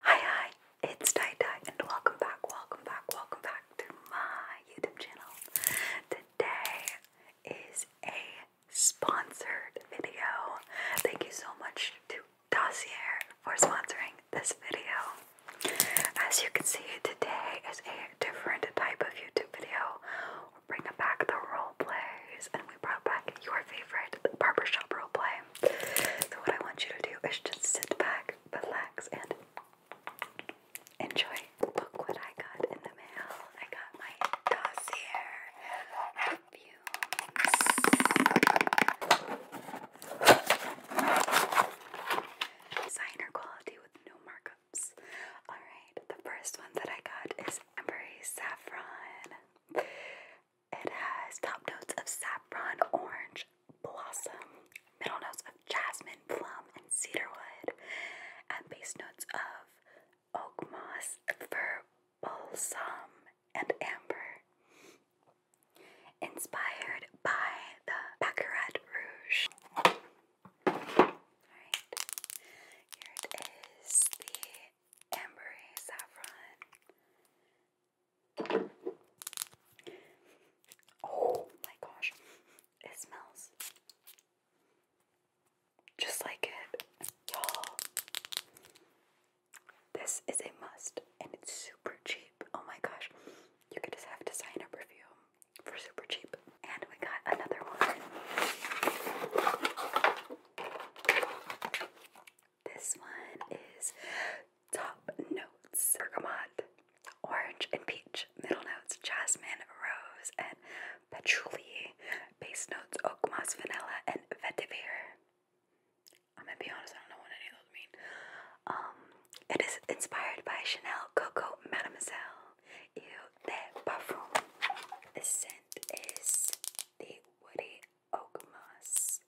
Hi hi, it's Dai Dai and welcome back, welcome back, welcome back to my YouTube channel. Today is a sponsored video. Thank you so much to Dossier for sponsoring this video. As you can see, today is a different type of YouTube video. We're bringing back the role plays, and we brought back your favorite barber shop role play. So, what I want you to do is just sit back, relax, and enjoy. Look what I got in the mail. I got my dossier. Designer quality with no markups. Alright, the first one that I got is Ambery Saffron. It has top notes of saffron, orange, blossom, middle notes of jasmine, plum, and cedarwood, and base notes of oak moss, fir, balsam, and amber. Inspired by the Baccarat Rouge. Alright, here it is the ambery saffron. Oh my gosh, it smells just like it, this is a must and it's super cheap. Oh my gosh, you could just have to sign up a perfume for super cheap. And we got another one. This one is Top Notes Bergamot, Orange and Peach, Middle Notes Jasmine, Rose, and Patchouli, Base Notes Oak Moss Vanilla, and Vetiver. I'm gonna be honest, I don't know what any of those mean. Um, it is inspired by Chanel Coco Mademoiselle Eau de Parfum. The scent is the Woody Oak Moss.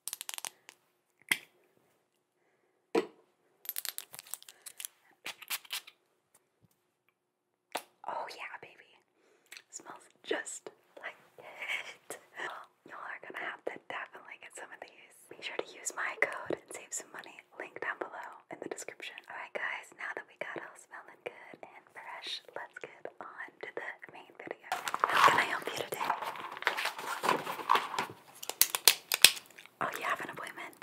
Oh yeah, baby. Smells just like it. y'all are gonna have to definitely get some of these. Be sure to use my code and save some money. Link down below in the description. Alright guys, now that we got all smelling good and fresh, let's get on to the main video. How can I help you today? Oh, you have an appointment?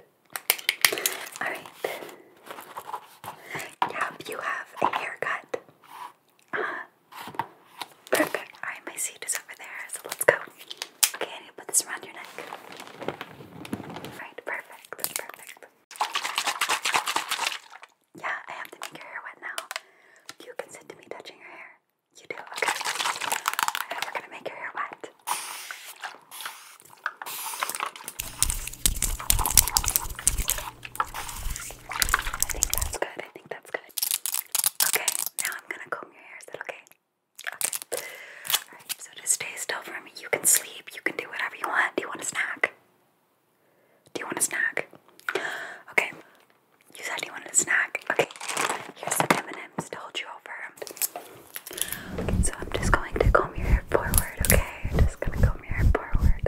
Alright. Yep, you have a haircut perfect. Alright, my seat is over there, so let's go. Okay, I need to put this around your neck. Alright, perfect. Perfect. Yeah, I have to make your hair wet now. You consent to me touching your hair. You do, okay. Alright, we gonna make your hair wet. I think that's good. I think that's good. Okay, now I'm gonna comb your hair. Is that okay? so just stay still for me. You can sleep, you can do whatever you want. Do you want a snack? Do you want a snack? Okay. You said you wanted a snack. Okay. Here's some M&M's to hold you over. Okay, so I'm just going to comb your hair forward, okay? I'm just gonna comb your hair forward.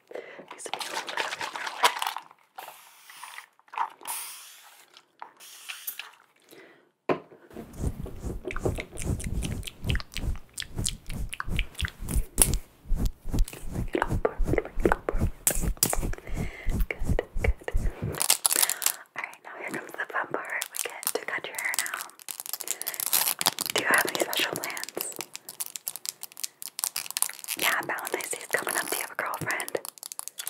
Needs to be a little bit Good, good. Alright, now here comes the fun part. We get to cut your hair now. Do you have any special plans? Yeah, Valentine's Day's coming up. Do you have a girlfriend?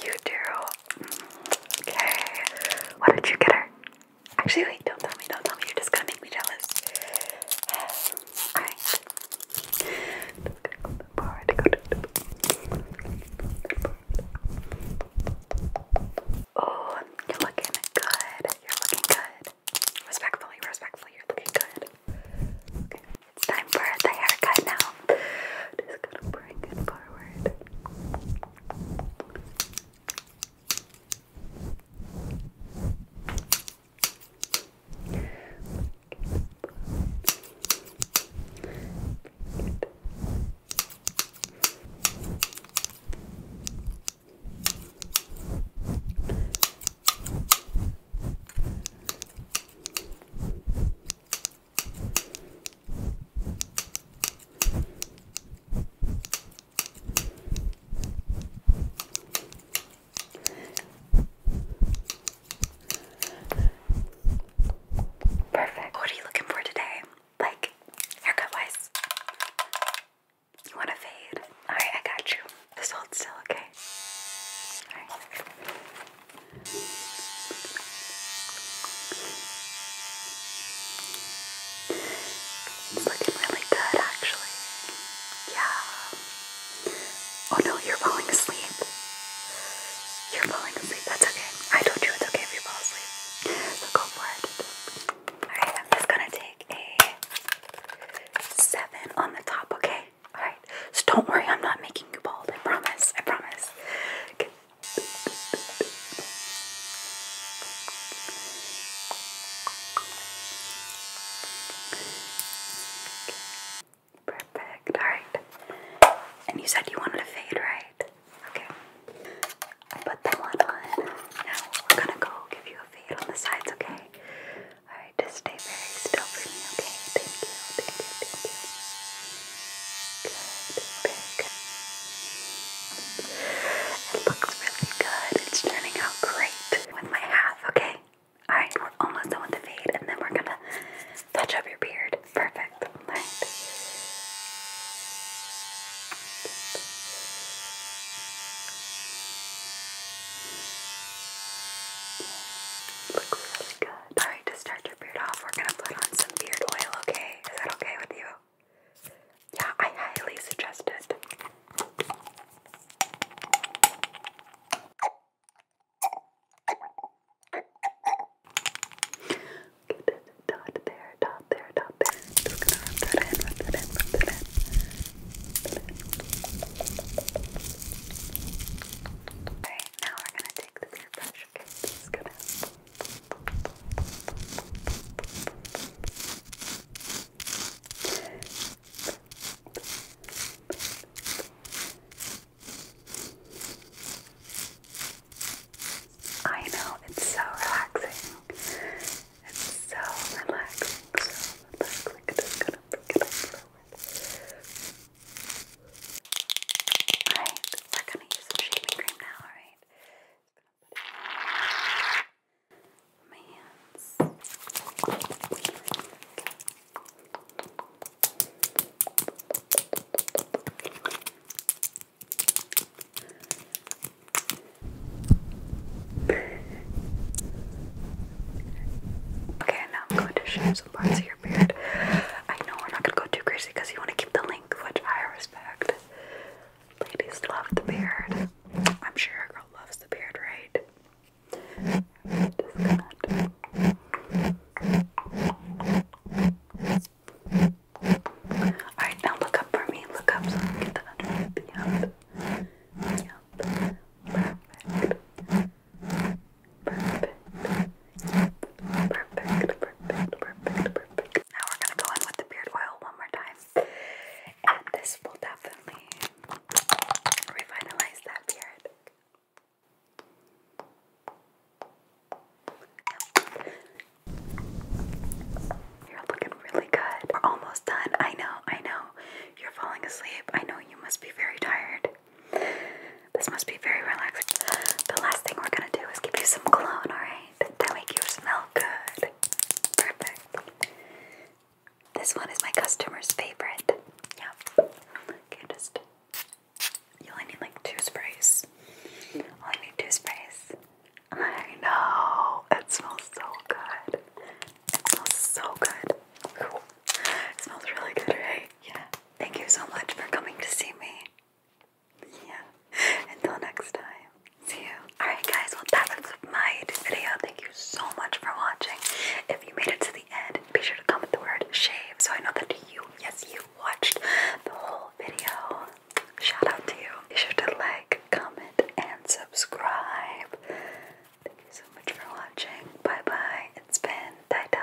You do. Okay. What did you get her? Actually, wait, don't tell me, don't tell me. You're just gonna make me jealous. Oh, you're looking good. You're looking good. Respectfully, respectfully, you're looking good. It's time for the haircut now. Just gonna bring it forward. Perfect. What are you looking for today? Like haircut wise? You want a fade? Alright, I got you. This hold still, okay? It's looking really good, actually. Yeah. Oh no, you're falling asleep. You're falling asleep. That's okay. I told you it's okay if you fall asleep. So go for it. Alright, I'm just gonna take a seven on the top, okay? Alright. So don't worry, I'm not making you bald. I promise. I promise. Perfect. Alright. And you said you wanted a fade, right? Okay. I put that one on. Now we're gonna go give you a fade on the sides, okay? Alright, just stay very still for me, okay? Thank you, thank you, thank you. Good, very good. It looks really good. It's turning out great with my half, okay? Alright, we're almost done with the fade, and then we're gonna touch up your beard. Perfect. Alright. Look really good. Alright, to start your beard off, we're gonna put on some beard oil, okay? Is that okay with you? Yeah, I highly suggest it. Get it dot there, dot there, dot there. Just gonna rub that in, rub that in, Alright, now we're gonna take the airbrush. Okay, this gonna. I know it's so relaxing. It's so relaxing, so relaxing. It's just gonna break it up excellent. Alright, we're to use some shaving cream now, alright? My hands. Okay, now I'm going to shave some parts of your beard. I know we're not gonna go too crazy because you want to keep the link, which I respect. Ladies love the beard. I'm sure a girl loves the beard, right? Alright, now look up for me. Look up now we're gonna go in with the beard oil one more time. And this will definitely revitalize that beard. You're looking really good. We're almost done. I know, I know. You're falling asleep. I know you must be very tired. This must be very relaxing. The last thing we're gonna do is give you some cologne, alright? To make you smell good. Perfect. This one is my customer's favorite. Yep. Okay, just. You only need like two sprays. Only need two sprays. I know. It smells so good smells so good. It smells really good, right? Yeah. Thank you so much for coming to see me. Yeah. Until next time. See you. Alright guys, well that wraps up my video. Thank you so much for watching. If you made it to the end, be sure to comment the word shave so I know that you, yes you watched the whole video. Shout out to you. Be sure to like, comment, and subscribe. Thank you so much for watching. Bye bye. It's been Dai Dai.